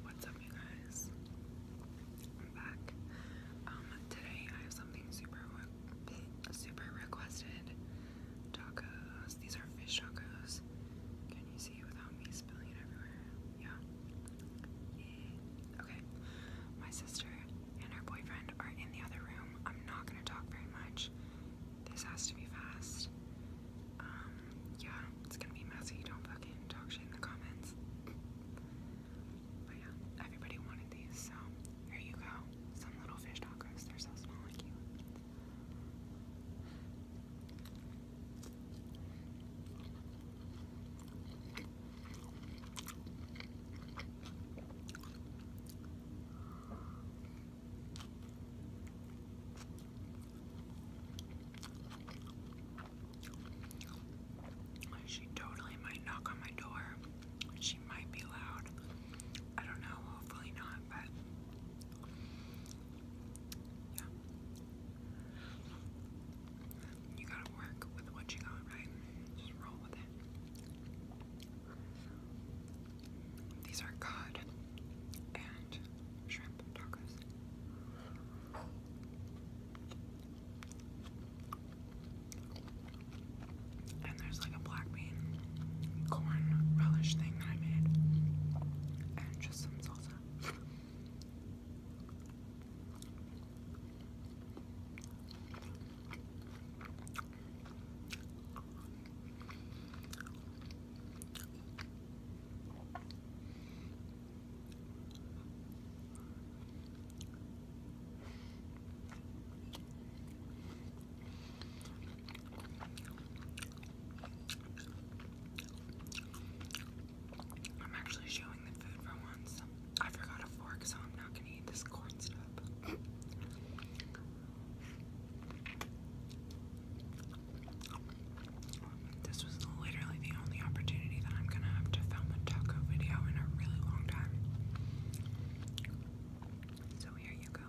What's up, you guys? I'm back. Um, today I have something super, super requested. Tacos. These are fish tacos. Can you see without me spilling it everywhere? Yeah. yeah. Okay. My sister and her boyfriend are in the other room. I'm not gonna talk very much. This has to be fast. Um, yeah, it's gonna be messy. Don't fucking talk shit in the comments. But yeah, everybody wanted these, so here you go. Some little fish tacos. They're so small and cute. She totally might knock on my door. She might be loud. I don't know, hopefully not, but yeah. You gotta work with what you got, right? Just roll with it. These are good and shrimp tacos. And there's like a black bean corn relish thing that I made, and just some salsa. I'm actually showing the food for once. I forgot a fork, so I'm not gonna eat this corn stuff. This was literally the only opportunity that I'm gonna have to film a taco video in a really long time. So here you go.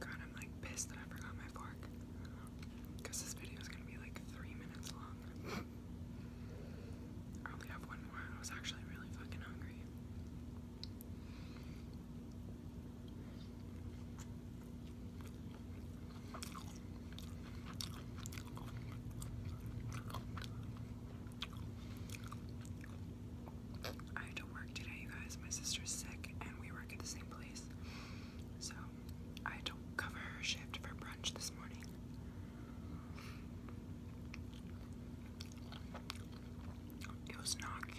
God, I'm like pissed that I forgot my fork. Because this video is going to be like three minutes long. I only have one more. I was actually really fucking hungry. I had to work today, you guys. My sister's sick, and we work at the same place. So I don't cover her shift for brunch this morning. It was not cute.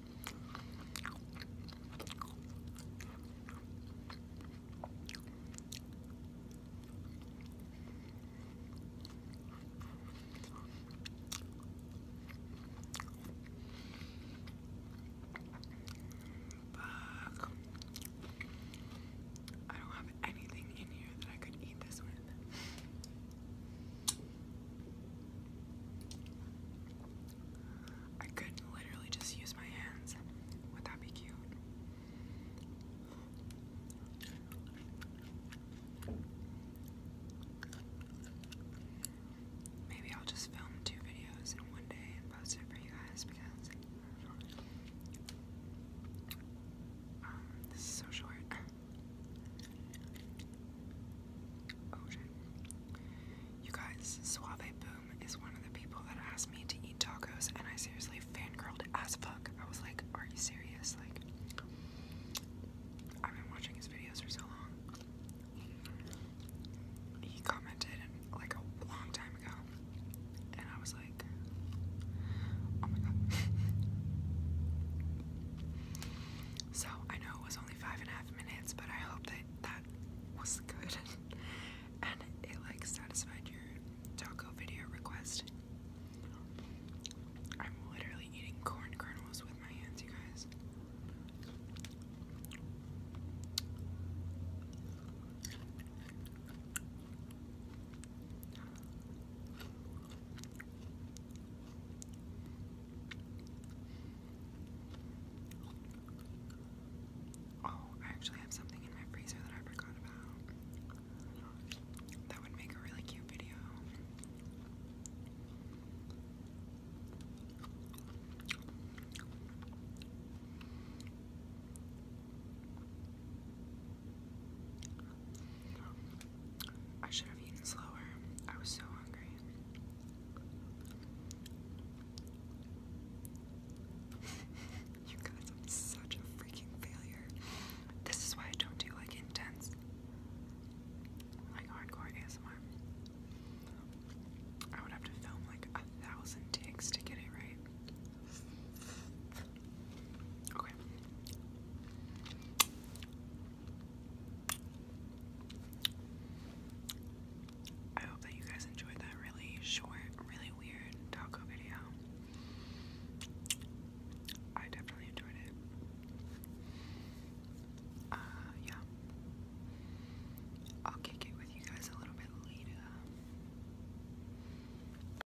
Fuck. I don't have anything in here that I could eat this with. I could literally just use my hands. Would that be cute? Maybe I'll just film two videos in one day and post it for you guys because um, this is so short. Oh, you guys, Suave Boom is one of the people that asked me to eat tacos, and I seriously fangirled as fuck. I was like, are you serious? Like, I've been watching his videos for so long. He commented like a long time ago, and I was like, oh my god. so I know it was only five and a half minutes, but I hope that that was good and it like satisfied your taco video request. I'm literally eating corn kernels with my hands, you guys. Oh, I actually have something in my freezer that I forgot about. That would make a really cute video. I should have eaten slower. I was so hungry. you guys, I'm such a freaking failure. This is why I don't do like intense, like hardcore ASMR. I would have to film like a thousand takes to get it right. Okay. I hope that you guys enjoyed that really short, really weird taco video. I definitely enjoyed it. Uh, yeah. I'll kick it with you guys a little bit later.